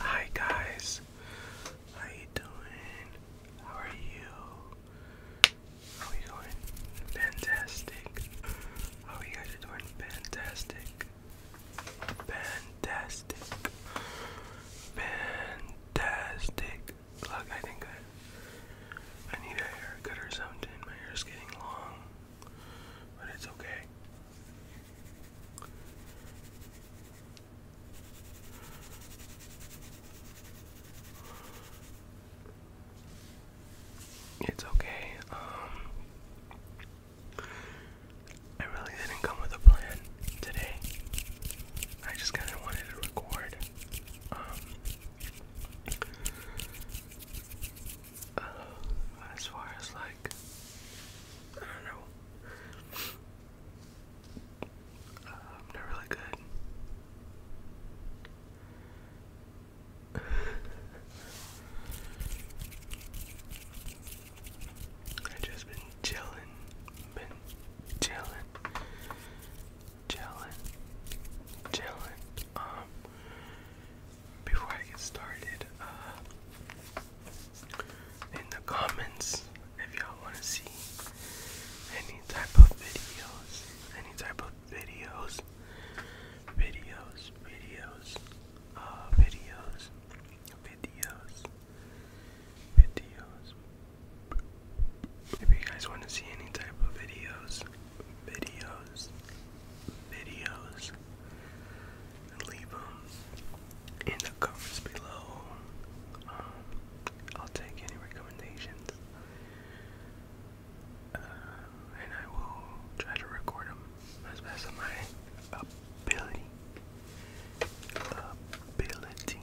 Hi guys, how you doing? How are you? How are you going? Fantastic. How are you guys doing? Fantastic. Fantastic. Fantastic. Look, I think I, I need a haircut or something. My hair's getting long, but it's okay. It's okay. Um, I really didn't come with a plan today. I just kind of wanted to record. Um, uh, as far as like, I don't know. I'm not really good. I just been chilling, been chilling, chilling, chilling. Um, before I get started, uh, in the comments if y'all want to see any type of videos, any type of videos, videos, videos, uh, videos, videos, videos. If you guys want to see any type of videos, videos, videos, leave them in the comments below. Um, I'll take any recommendations. Uh, and I will try to record them as best of my ability. Ability.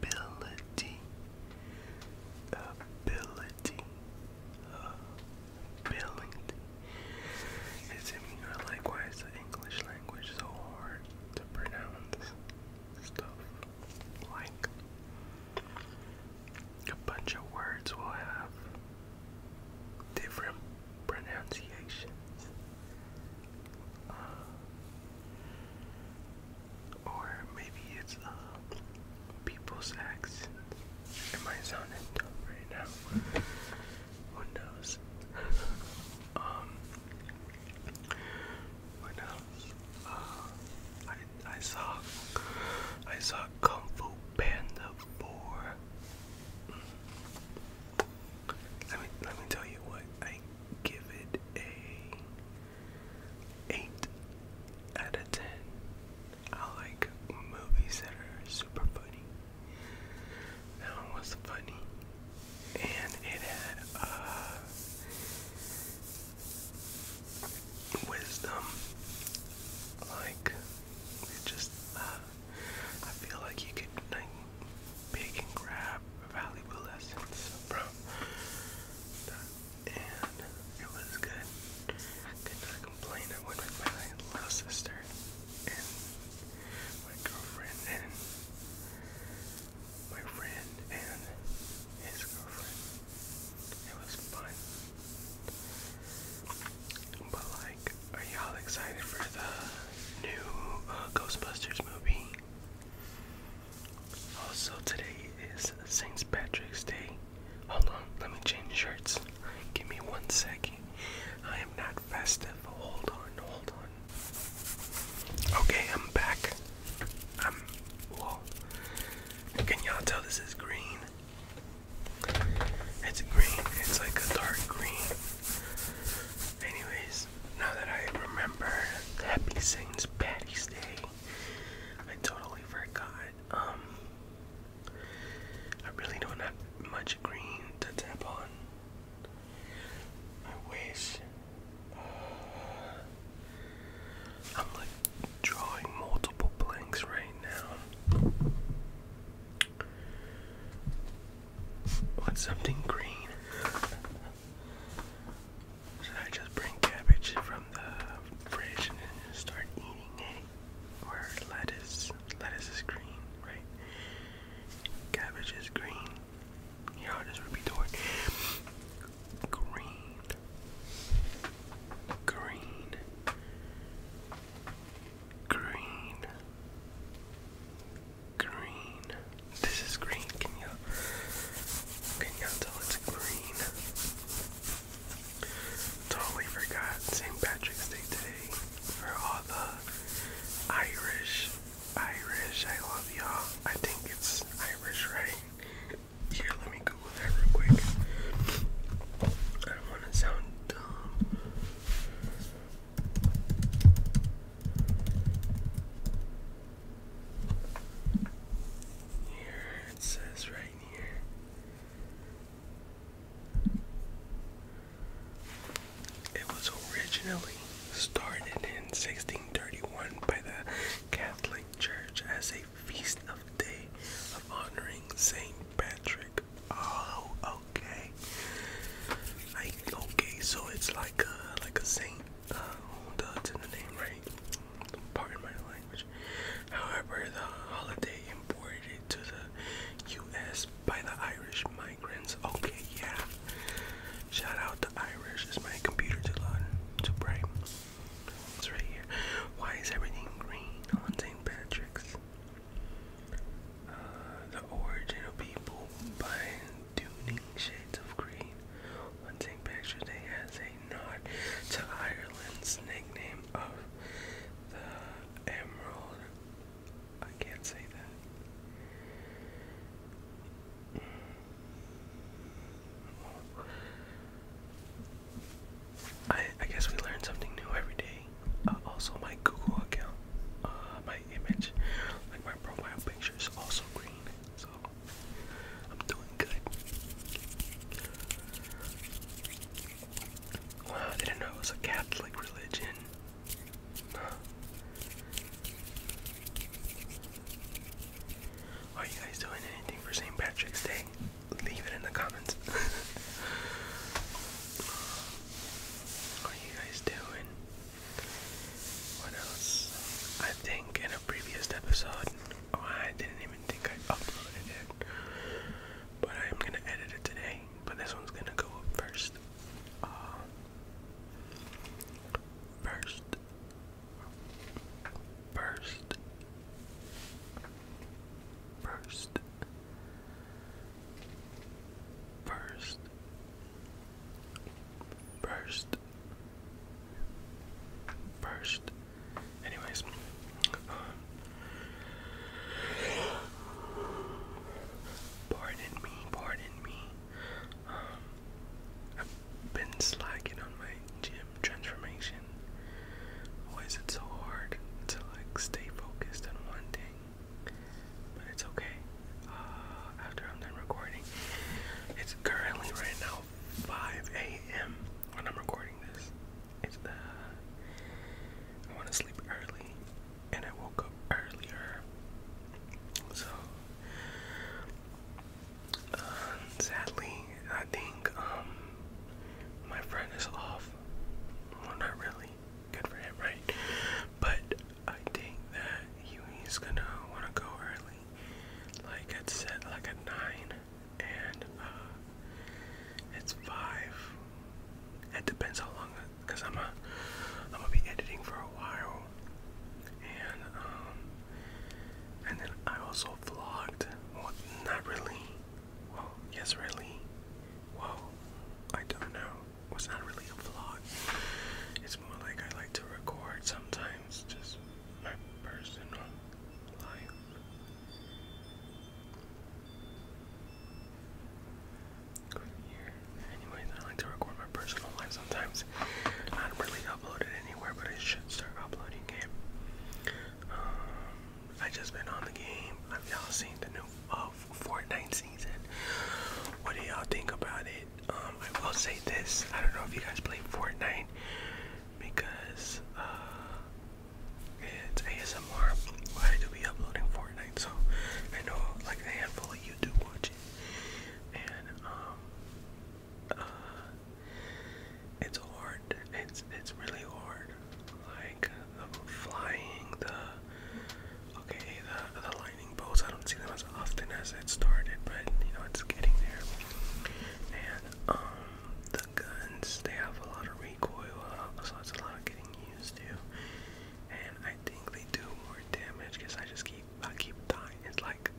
Ability. Ability. Ability. It's similar likewise to English language so hard to pronounce stuff like a bunch of words will have different pronunciations uh, or maybe it's uh, people's accents. It might sound dumb right now. Windows. knows. Um, uh, I I saw I saw Kung Fu Panda Four. Let me let me tell you what I give it a eight out of ten. I like movies that are super funny. That was funny. And it had uh wisdom. Like just uh, I feel like you could like pick and grab valuable lessons from and it was good. could not complain. I went with my little sister and my girlfriend and my friend and his girlfriend. It was fun. But like, are y'all excited for the new uh, Ghostbusters movie? Also, today is St. Patrick's Day. Hold on, let me change shirts. Give me one second. I am not festive. Hold on, hold on. Okay, I'm back. I'm. Whoa. Can y'all tell this is green? It's green. It's like a dark green. Anyways, now that I remember, Happy Saints Patty's Day. I totally forgot. Um, I really don't have much green to tap on. I wish uh, I'm like drawing multiple blanks right now. What's something green? Should I just bring cabbage from the fridge and start eating it? Or lettuce? Lettuce is green, right? Cabbage is green. Yeah, I'll just repeat Green. Green. Green. Green. This is green. Can you can you tell it's green? Totally forgot St. Patrick's Day today for all the Irish. Irish, I love y'all. I think it's Irish, right? Here, let me Google that real quick. I don't want to sound dumb. Here, it says right here. It was originally started in 1631 by the Catholic Church as a feast of day of honoring Saint Patrick. Oh, okay. okay, so it's like a like a saint. Uh, in the name, right? Pardon my language. However, the holiday imported to the U.S by the Irish migrants. Okay, yeah. Shout out to Irish. Is my computer too loud? Too bright? It's right here. Why is everything green on Patrick's? Uh, the origin people by tuning shades of green. On St. Day has a nod to Ireland's nickname of the Emerald I can't say that. I I guess we learn something new every day. Uh, also, my Google account, uh, my image, like my profile picture is also green, so I'm doing good. Wow, didn't know it was a Catholic religion. Are you guys doing anything for St. Patrick's Day? Leave it in the comments. what are you guys doing? What else? I think in a previous episode, oh, I didn't even think I uploaded it, but I'm gonna edit it today but this one's gonna go up first. Uh, first, first, first, first, first, first. Anyways. Pardon me, pardon me. Um, I've been slacking on my gym transformation. Why is it so hard to like stay focused on one thing? But it's okay. Uh, after I'm done recording, it's currently right now 5 a.m. when I'm recording this. It's uh, I want to sleep early and I woke up earlier. So, uh, sadly, I think um, my friend is off. Well, not really. Good for him, right? But I think that he's gonna want to go early, like it's set, like at nine, and uh, it's five. It depends how long because I'm a, I'm gonna be editing for a while, and um, and then I also vlogged. not really. Well, yes, really. Well, I don't know. It's not really a vlog. It's more like I like to record sometimes, just my personal life. Anyways, I like to record my personal life sometimes. I don't really upload it anywhere, but I should start uploading it. Um, I just been on the game. Have y'all seen the new uh, Fortnite season? What do y'all think about it? Um, I will say this. I don't know if you guys play Fortnite because uh, it's ASMR. Why do we uploading Fortnite? so I know like a handful of you do watch it, and um, uh, it's hard. It's it's really hard. Like the flying, the okay, the the lightning bolts. I don't see them as often as it started, but you know it's getting there. And um, the guns, they have a lot of recoil, uh, so it's a lot getting used to and I think they do more damage because I just keep I keep dying. It's like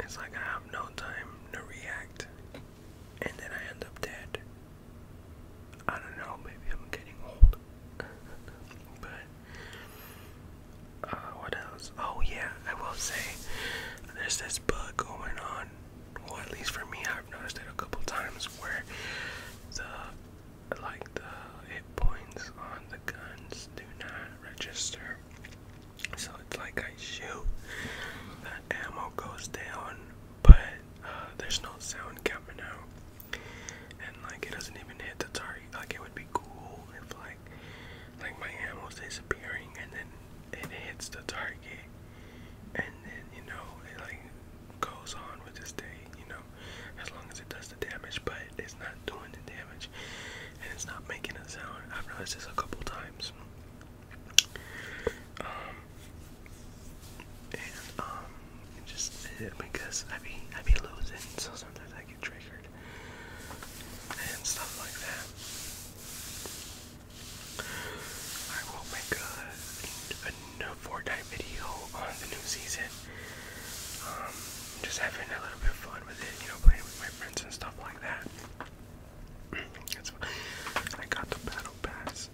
it's like I have no time to react, and then I end up dead. I don't know. Maybe I'm getting old, but uh, what else? Oh yeah, I will say there's this bug going on. Well, at least for me, I've noticed it a couple times where the like the hit points on the guns do not register. So it's like I shoot, the ammo goes down, but uh, there's no sound coming out, and like it doesn't even hit the target. Like it would be cool if like like my ammo's disappearing and then it hits the target and then you know it like goes on with this day, you know, as long as it does the damage, but it's not doing the damage and it's not making a sound. I've noticed this a couple times. Um and um it just it, because I be I be losing so sometimes I get triggered and stuff like that. I will make a do a video on the new season. Um, just having a little bit fun with it, you know, playing with my friends and stuff like that. I got the battle pass.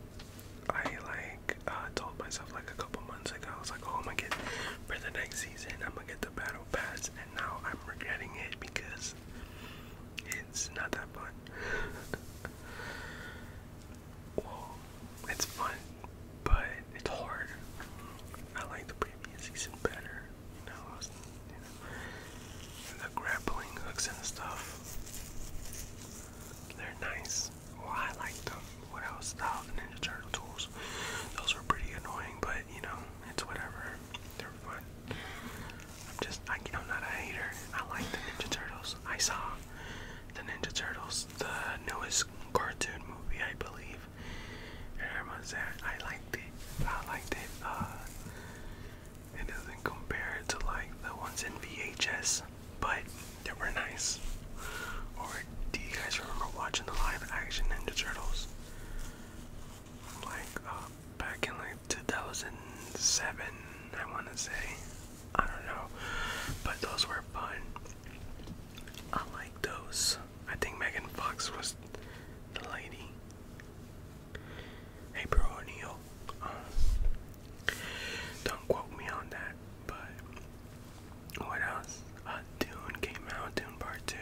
I like uh, told myself like a couple months ago, I was like, oh, I'm gonna get for the next season, I'm gonna get the battle pass, and now I'm regretting it because it's not that fun. It's fun, but it's hard. I like the previous season better. You know, I was, the grappling hooks and stuff. They're nice. I like them. What else? The Ninja Turtle tools. Those were pretty annoying, but you know, it's whatever. They're fun. I'm just, I, I'm not a hater. I like the Ninja Turtles. I saw the Ninja Turtles, the newest cartoon movie, I believe. I liked it. I liked it. Uh, it doesn't compare to like the ones in VHS, but they were nice. Or do you guys remember watching the live action Ninja Turtles? Like uh, back in like 2007, I want to say. I don't know. But those were fun. I like those. I think Megan Fox was the lady. Hey, bro, um, don't quote me on that, but what else? Uh, Dune came out, Dune Part 2.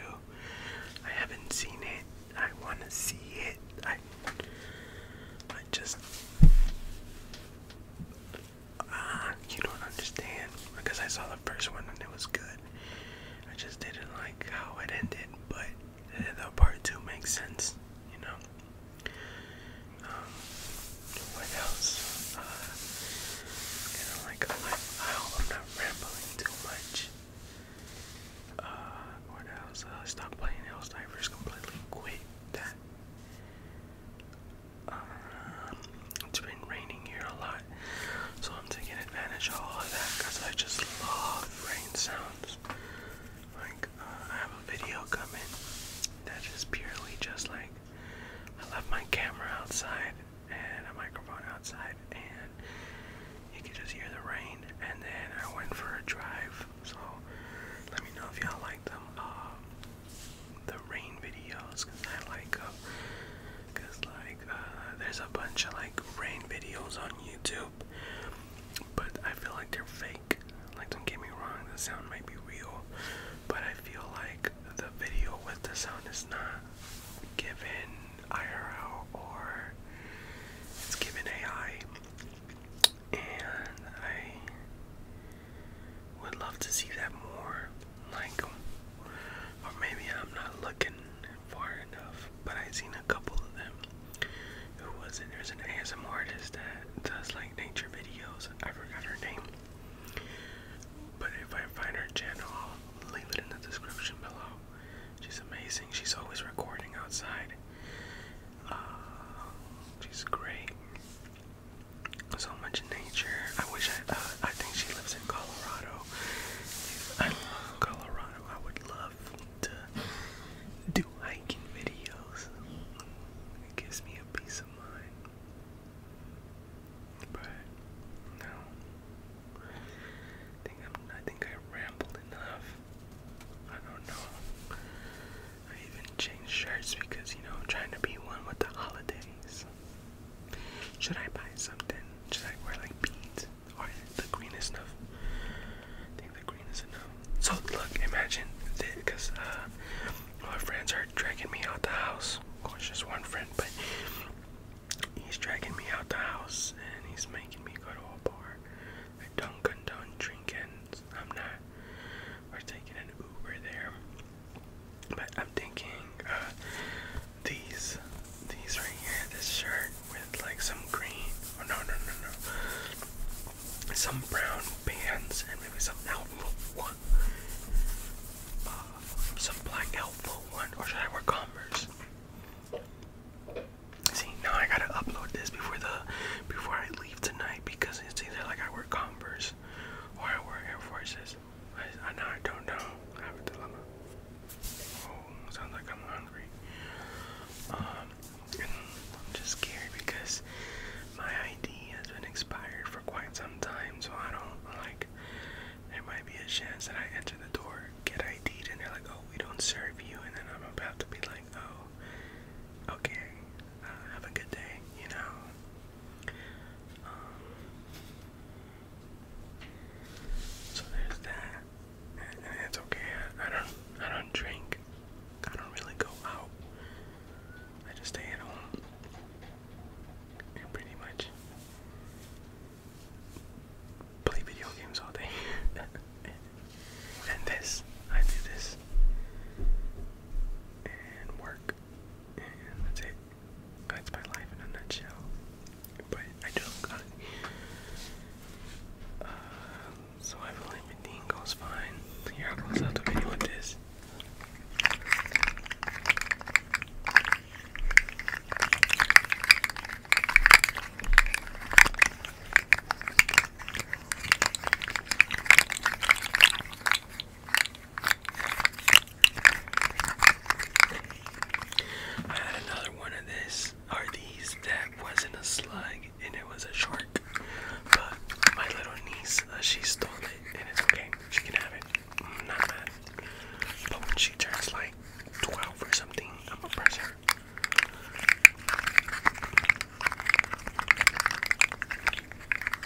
I haven't seen it. I want to see it. I, I just ah, you don't understand because I saw the first one and it was good. I just didn't like how it ended, but the part two makes sense, you know. Um, what else? Uh, kind of like I, hope I'm not rambling too much. Uh, what else? Uh, stop playing Helldivers completely. Quit that. Um, it's been raining here a lot, so I'm taking advantage of all of that because I just love rain sounds. Like, uh, I have a video coming that is purely just like I left my camera outside and a microphone outside, and you can just hear the rain. And then I went for a drive, so let me know if y'all like them. Um, the rain videos because I like because uh, like uh, there's a bunch of like rain videos on YouTube, but I feel like they're fake. Like don't get me wrong, the sound might be real, but I feel like the video with the sound is not given IRL or it's given AI and I would love to see that more. Like, or maybe I'm not looking far enough, but I've seen a couple of them. Who was it? There's an ASM artist that does like nature videos. I forgot her name. But if I find her channel, I'll leave it in the description below. She's amazing. She's always recording outside. Uh, she's great so much nature. I wish I, uh, I think she lives in Colorado. I love Colorado. I would love to do hiking videos. It gives me a peace of mind. But no, I think i I think I rambled enough. I don't know. I even changed shirts because you know I'm trying to be one with the holidays. Should I buy something? Should I wear like beads or the green is enough? I think the green is enough. So look, imagine this because uh, my friends are dragging me out the house. Of course, just one friend, but he's dragging me out the house and he's making me go to a bar. I don't condone drinking. I'm not we're taking an Uber there. But I'm thinking uh, these, these right here, this shirt with like some green, oh no, no, no, no, some brown pants and maybe some outfit one, uh, some black outfit one, or should I wear Converse? See, now I gotta upload this before the, before I leave tonight because it's either like I wear Converse or I wear Forces. I, know I don't know. I have a dilemma. Oh, sounds like I'm hungry. Um, I'm just scared because my ID has been expired for quite some time, so I don't like. There might be a chance that I enter the door, get id and they're like, "Oh, we don't serve you," and then I'm about to be like, "Oh, okay, uh, have a good day, you know. Um, so there's that, it's okay. I, don't, I don't drink. I don't really go out. I just stay at home, and pretty much play video games all day. and this, I do this and work, and that's it. That's my life in a nutshell. But I do uh, so I believe everything goes fine. Here, I'll out the video with this. I had another one of this or these that wasn't a slug and it was a shark. But my little niece, uh, she stole it and it's okay. She can have it. not mad. But when she turns like 12 or something, I'm gonna press her.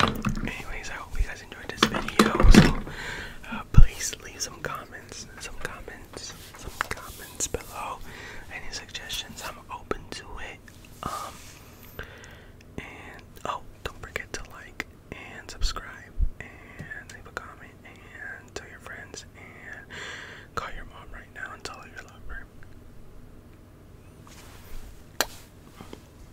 Anyways, I hope you guys enjoyed this video. So uh, please leave some comments, some comments, some comments below. Any suggestions? I'm open to it. Um, and oh, don't forget to like and subscribe and leave a comment and tell your friends and call your mom right now and tell her you love her.